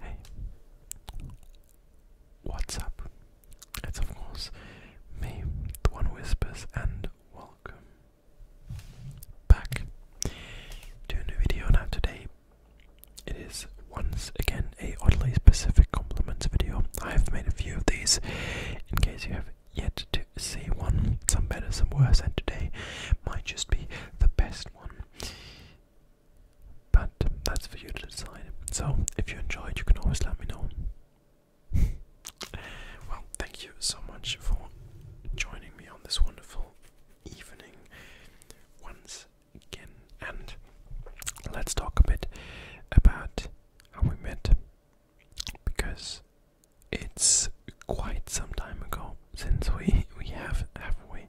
Hey, what's up? It's of course me, the one who whispers, and welcome back to a new video. Now, today it is once again a oddly specific compliments video. I have made a few of these in case you have yet to see one. Some better, some worse, and today might just be the best one. But that's for you to decide. So if you enjoyed, you can always let me know. well, thank you so much for joining me on this wonderful evening once and let's talk a bit about how we met because it's quite some time ago since we we have have we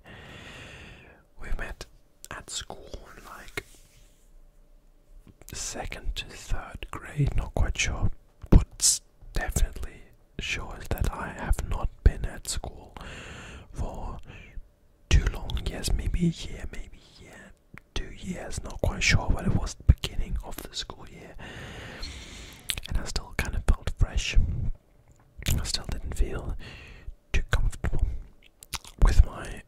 we met at school like second to third grade, not quite sure, but definitely shows that I have not been at school for too long, yes, maybe a year, maybe yeah, two years, not quite sure, but it was the beginning of the school year, and I still kind of felt fresh. I still didn't feel too comfortable with my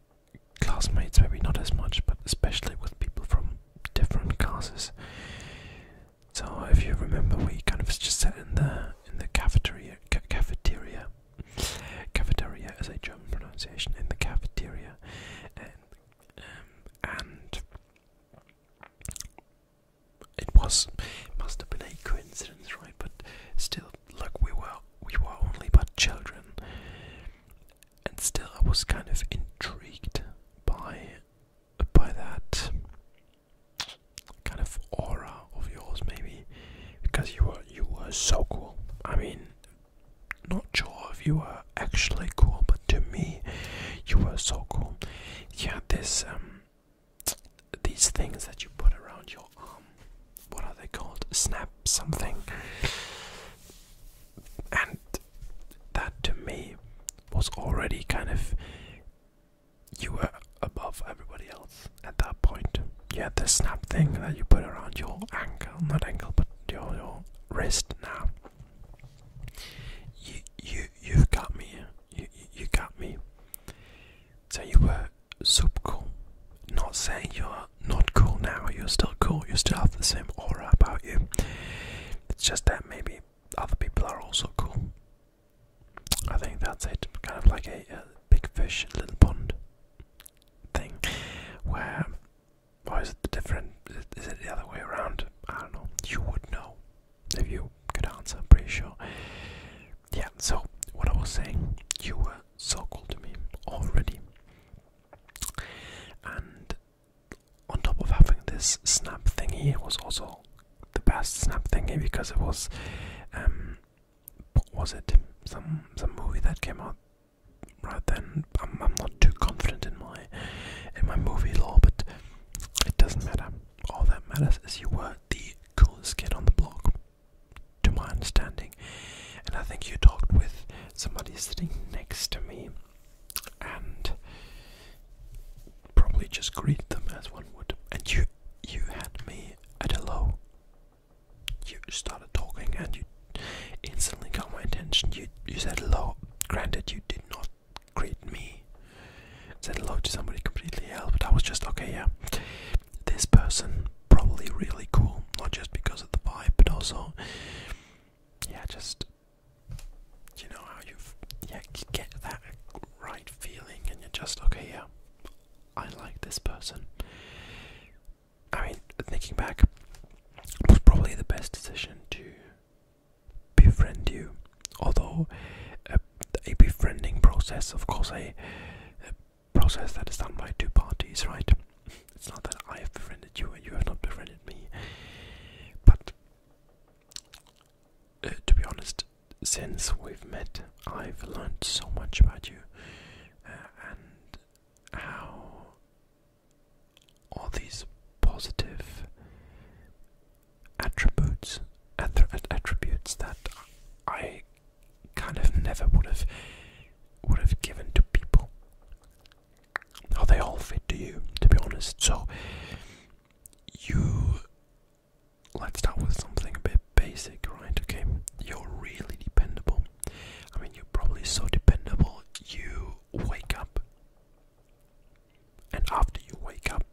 classmates, maybe not as much, but especially with people from different classes. So if you remember, we kind of just sat in the in the cafeteria cafeteria Cafeteria is a German pronunciation in the cafeteria, and, um, it was must have been a coincidence, right? But still, look, we were we were only but children, and still, I was kind of intrigued by by that kind of aura of yours, maybe, because you were you were so cool. I mean, not sure if you were actually cool, but to me, you were so cool. You had this um, these things that you put around your arm. What are they called? Snap something. And that to me was already kind of you were above everybody else at that point. You had the snap thing that you put around your ankle, not ankle, but your, your wrist now. You, you, you've got me. You, you got me. So you were super cool. Not saying you're not cool now. You're still cool. You still have the same aura about you. It's just that maybe other people are also cool. I think that's it. Kind of like a, big fish, little pond thing. Where, why is it different? Is it the other way around? I don't know. You would know if you could answer. I'm pretty sure. Yeah. So what I was saying, you were so cool to me already, and on top of having this snap thingy, it was also the best snap thingy because it was um, what was it? Some some movie that came out right then. I'm, I'm not too confident in my in my movie law, but it doesn't matter. All that matters is you were the coolest kid on the block, to my understanding. And I think you talked with somebody sitting next to me, and probably just greeted them as one would. And you you had me at hello you started talking and you instantly got my attention. You you said hello. Granted, you did not greet me. Said hello to somebody completely else, but I was just okay. Yeah, this person probably really cool, not just because of the vibe, but also yeah, just you know how you yeah get that right feeling, and you're just okay. Yeah, I like this person. I mean, thinking back, it was probably the best decision to befriend you. Although a, befriending process, of course, a, process that is done by two parties, right? It's not that I have befriended you and you have not befriended me. But uh, to be honest, since we've met, I've learned so much about you uh, and how all these positive attributes attributes that I kind of never would have would have given to people. How they all fit to you, to be honest. So you let's start with something a bit basic, right? Okay, you're really dependable. I mean, you're probably so dependable, you wake up, and after you wake up,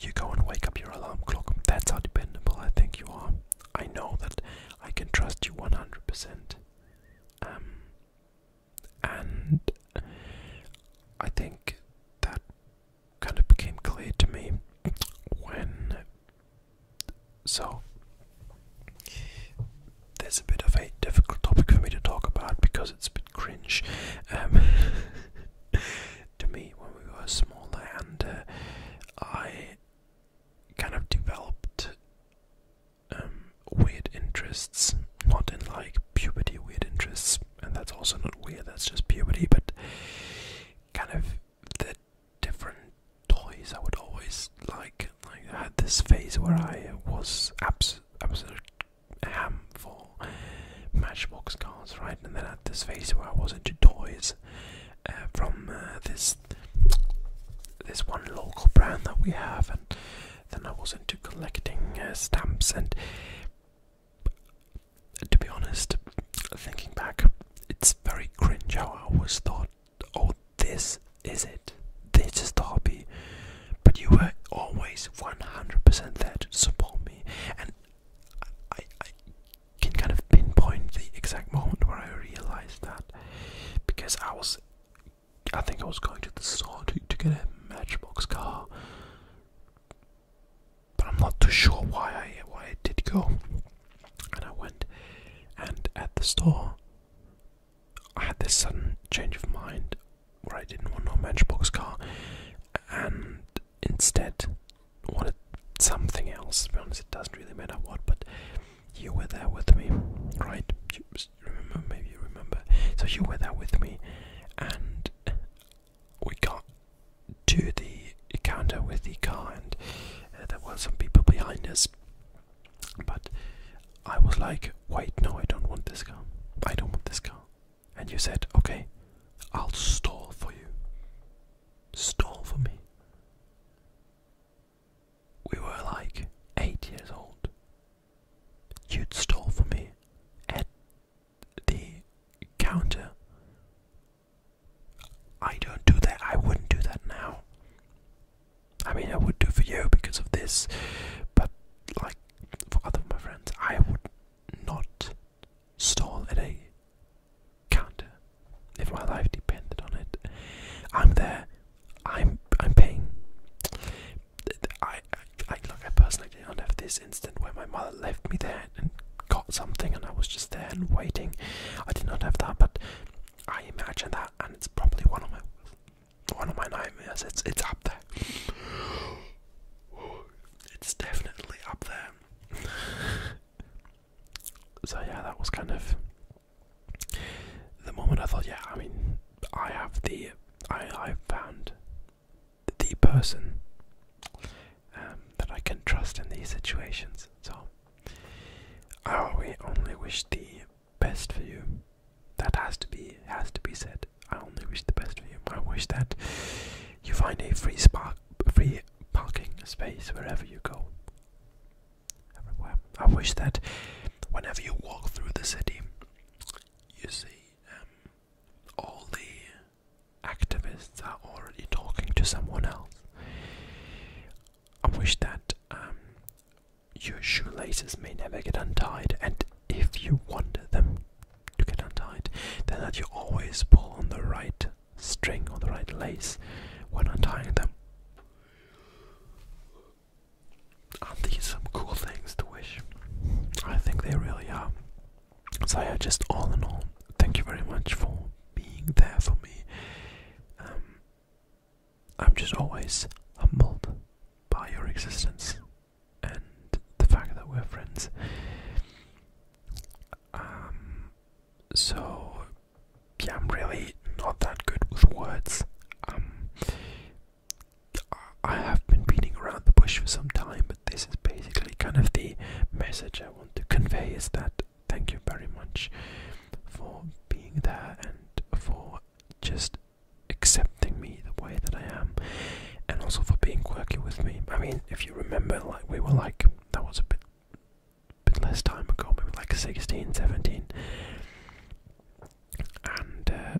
you go and wake up your alarm clock. That's how dependable I think you are. I know that I can trust you 100%. Um, and I think that kind of became clear to me when. So, there's a bit of a difficult topic for me to talk about because it's a bit cringe um, to me when we were smaller, and uh, I kind of developed um, weird interests, not in like puberty weird interests, and that's also not weird, that's just puberty, but kind of the different toys I would always like. I had this phase where I was abs absolute ham for Matchbox cars, right? And then I had this phase where I was into toys uh, from uh, this this one local brand that we have, and then I was into collecting uh, stamps and to be honest, thinking back, it's very cringe how I always thought, oh, this is it, this is the hobby. But you were always 100% there to support me, and I, can kind of pinpoint the exact moment where I realized that because I was, I think I was going to the store to get a Matchbox car but I'm not too sure why I why I did go. And I went, and at the store, I had this sudden change of mind where I didn't want no Matchbox car, and instead wanted something else. As be honest, it doesn't really matter what, but you were there with me, right? You remember, maybe you remember. So you were there with me, and we got to the counter with the car, and uh, there were some people behind us. But I was like, wait, no, I don't want this car. I don't want this car. And you said, okay, I'll stall for you. Stall for me. We were like eight years old. You'd stall for me at the counter I don't do that. I wouldn't do that now. I mean, I would do for you because of this, but like for other of my friends, I would not stall at a counter if my life depended on it. I'm there. I'm I'm paying. I I, look. I personally don't have this instance where my mother left me there and got something and I was just there and waiting. I did not have that, but I imagine that and it's probably one of my one of my nightmares. It's it's up there. It's definitely up there. so yeah, that was kind of the moment I thought, yeah, I mean, I have the I I found the person um, that I can trust in these situations. So I only wish the best for you. That has to be has to be said. I only wish the best for you. I wish that you find a free spark, free parking space wherever you go. Everywhere. I wish that whenever you walk through the city, you see um, all the activists are already talking to someone else. I wish that um, your shoelaces may never get untied, and if you want them to get untied, then that you always pull on the right string or the right lace when untying them. Aren't these some cool things to wish? I think they really are. So yeah, just all in all, thank you very much for being there for me. Um, I'm just always humbled by your existence and the fact that we're friends. Um, so yeah, I'm really not that good with words. Um, I have been beating around the bush for some time, but this is basically kind of the message I want to convey is that thank you very much for being there and for just accepting me the way that I am, and also for being quirky with me. I mean, if you remember, like we were like that was a bit, bit less time ago, maybe like 16, 17, and uh,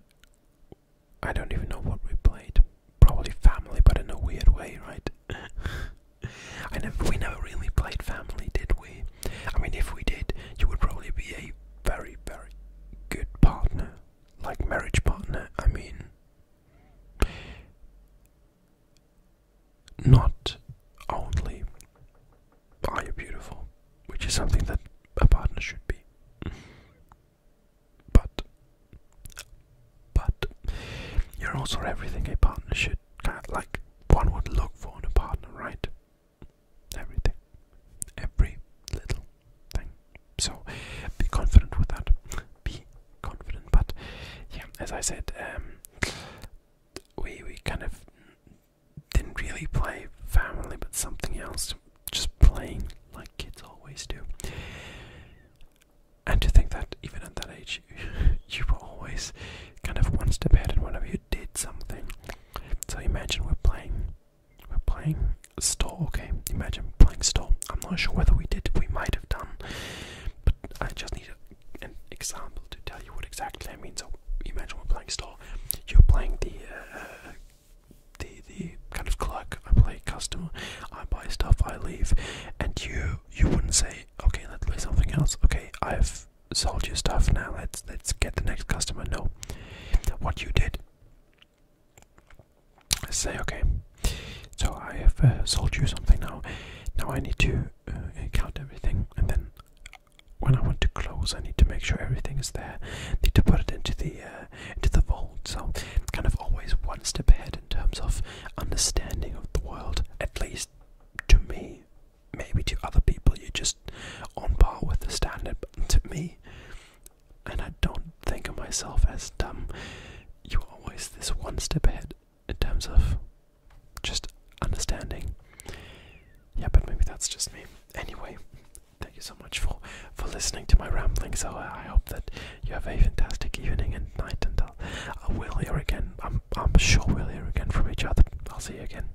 I don't even know what we played probably family, but in a weird way, right? I never, we never really played family, did we? I mean, if we did, you would probably be a very, very good partner, like marriage partner. I mean, not only are beautiful, which is something that a partner should be, but but you're also everything a partner should kind of like one would look for in a partner, right? Everything, every little thing. So be confident with that. Be confident. But yeah, as I said, um, we we kind of didn't really play family, but something else, just playing like kids always do. And to think that even at that age, you, were always kind of once step ahead in whenever you did something. So imagine we're playing, we're playing store. Okay, imagine playing stall. I'm not sure whether we did. We might have done, but I just need an example to tell you what exactly I mean. So imagine we're playing stall. You're playing the. Uh, the the kind of clerk, I play customer, I buy stuff, I leave, and you you wouldn't say, okay, let's play something else. Okay, I've sold you stuff now. Let's let's get the next customer. No, what you did. let say okay. So I have uh, sold you something now. Now I need to uh, count everything, and then when I want to close, I need to make sure everything is there. I need to put it into the uh, into the vault. So kind of always one step ahead in terms of understanding of the world, at least to me. Maybe to other people, you're just on par with the standard, but to me, and I don't think of myself as dumb, you're always this one step ahead in terms of just understanding. Yeah, but maybe that's just me. Anyway, thank you so much for for listening to my ramblings. So I hope that you have a fantastic evening and night, and I'll, hear again. I'm, I'm sure we'll hear again from each other. I'll see you again.